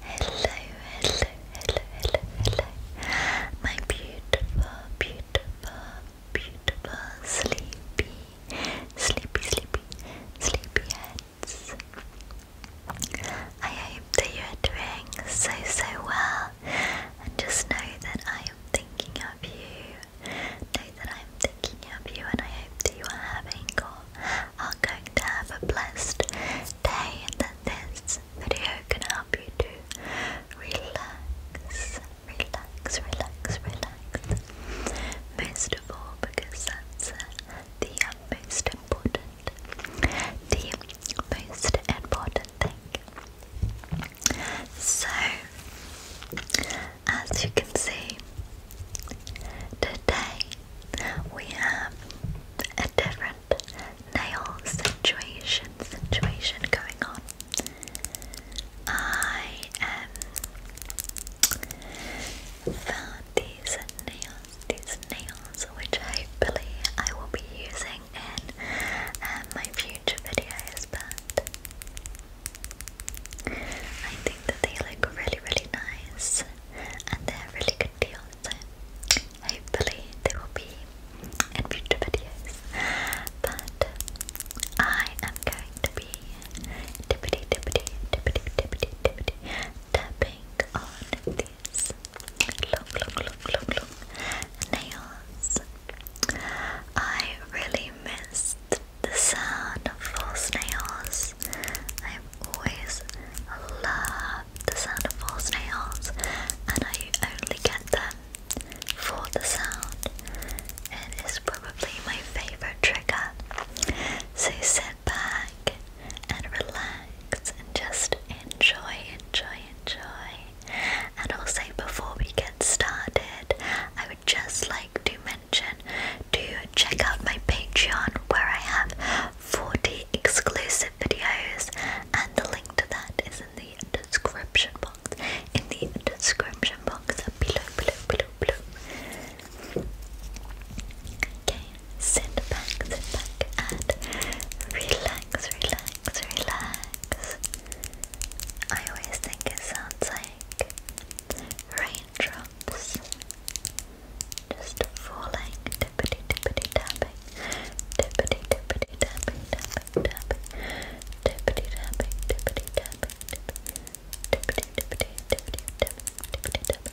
Hello, hello, hello, hello, hello, my beautiful, beautiful, beautiful, sleepy, sleepy, sleepy, sleepy I hope that you are doing so, so well, and just know that I am thinking of you Know that I'm thinking of you and I hope that you are having or are going to have a blessed day and that this video can help you to relax, relax, relax, relax. Most of all because that's uh, the most important, the most important thing. So, as you can see, today we have a different nail situation situation going on. I um, found these nails, these nails, which I believe I will be using in uh, my future videos, but I think that they look really, really nice and they're really good deal. So hopefully they will be in future videos. But I am going to be tippity tippity tippity tippity tippity tapping on these long long long long long nails I really missed the sound of false nails. I've always loved the sound of false nails, and I only get them for the sound. It is probably my favorite trigger. So sit back and relax and just enjoy, enjoy, enjoy and also, before we get started, I would just like to mention to check out my Patreon where I have 40 exclusive videos, and the link to that is in the description box. In the description box below, below, below, below. Okay, sit back, sit back, and relax, relax, relax. I always think it sounds like raindrops just falling, tippity tippity tapping, tippity tippity tapping, tapping, tapping, tippity tapping, tippity tapping, tippity tippity tippity tapping, tippity tapping.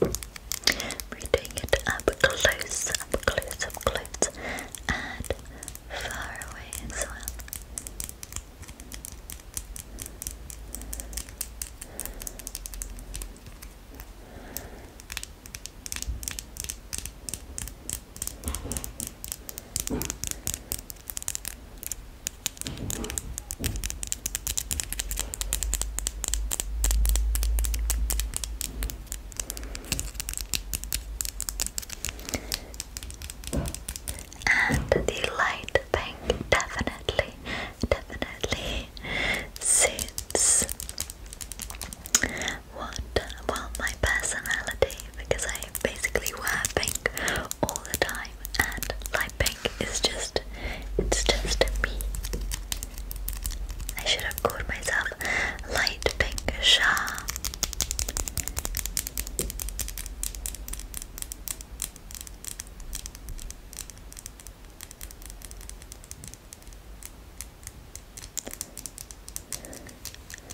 we're doing it up close, up close, up close, and far away as well. And the light pink definitely, definitely sits what, well, my personality because I basically wear pink all the time and light pink is just, it's just me. I should have called myself Light Pink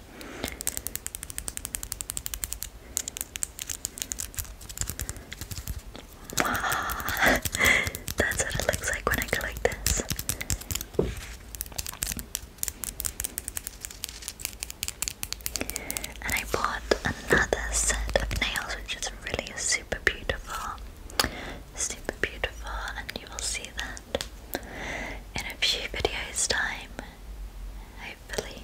That's what it looks like when I go like this. And I bought another set of nails, which is really super beautiful. Super beautiful, and you will see that in a few videos' time, hopefully.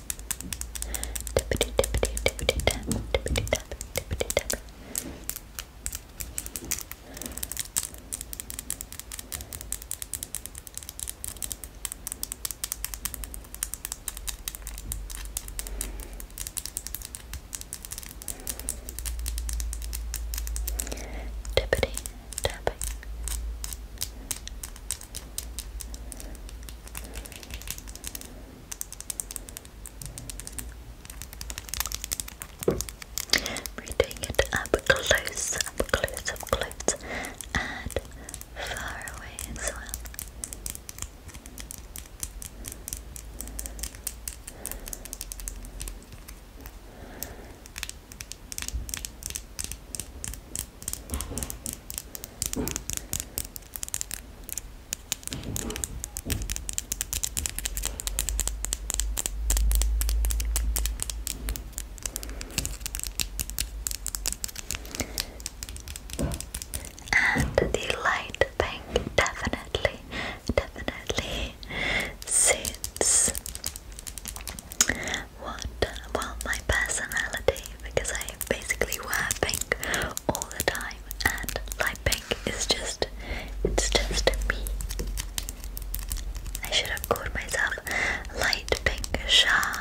Tippity tippity tippity tap, tippity tap, tippity tap. Tippity tapping, we're doing it up close, up close, up close, and far away as well. And the light pink definitely, definitely sits what well my personality because I basically wear pink all the time and light pink is just it's just me. I should have called myself light pink Shah.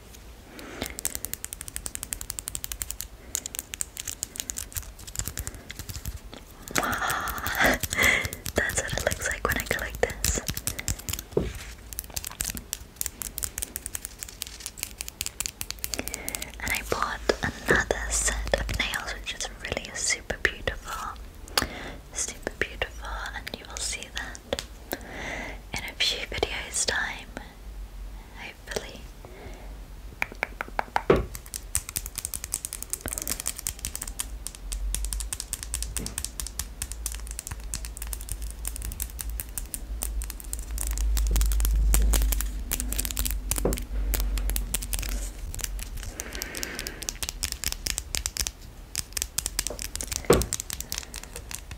That's what it looks like when I go this. And I bought another set of nails, which is really super beautiful. Super beautiful, and you will see that in a few videos' time hopefully.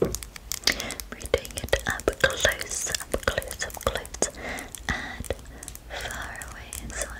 we're doing it up close, up close, up close, and far away as well.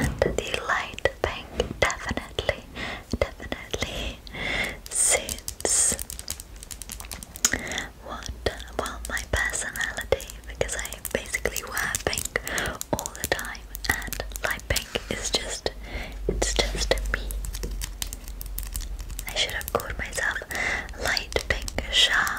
And the light pink definitely, definitely suits what well my personality because I basically wear pink all the time and light pink is just it's just me. I should have called myself light pink Shah.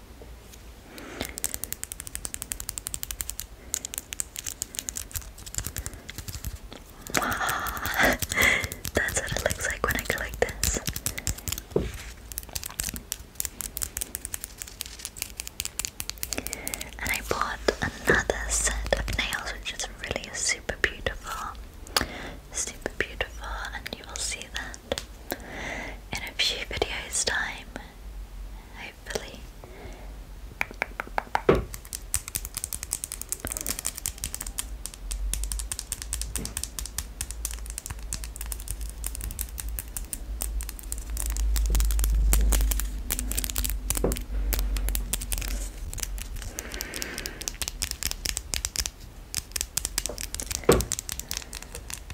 That's what it looks like when I collect this. And I bought another set of nails, which is really super beautiful. Super beautiful, and you will see that in a few videos' time hopefully.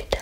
Tip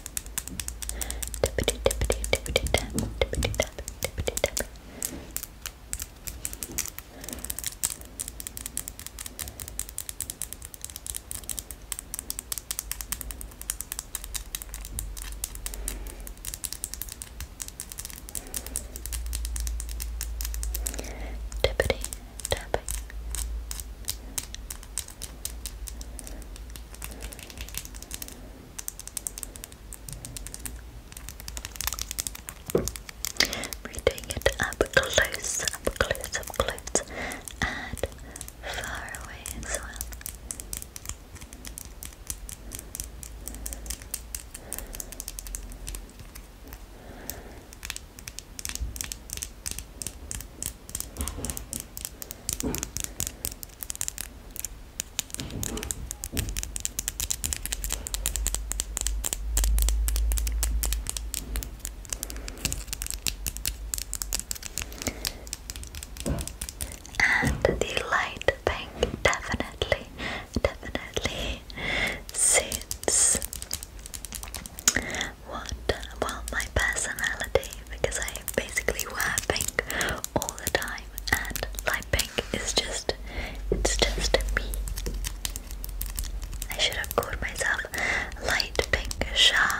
Tippity tippity tippity tap, tippity tap, tippity tap. Tippity tapping, we're it up close, up close, up close, and far away as well. And the light pink definitely, definitely suits what well my personality because I I basically wear pink all the time and light pink is just it's just me. I should have called myself light pink Shah.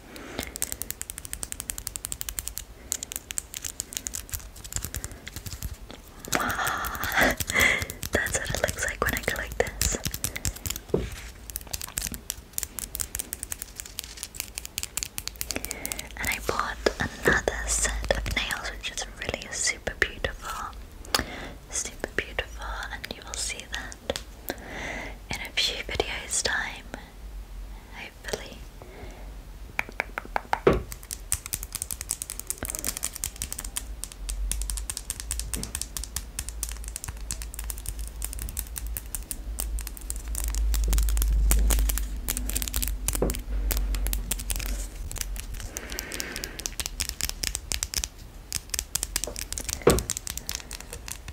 That's what it looks like when I collect this. And I bought another set of nails, which is really super beautiful. Super beautiful, and you will see that in a few videos' time hopefully.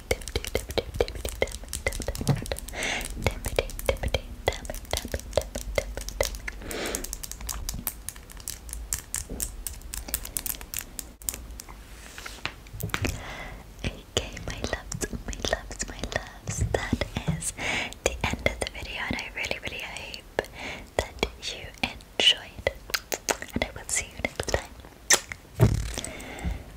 Okay, my loves, my loves, my loves, that is the end of the video, and I really, really hope that you enjoyed. And I will see you next time.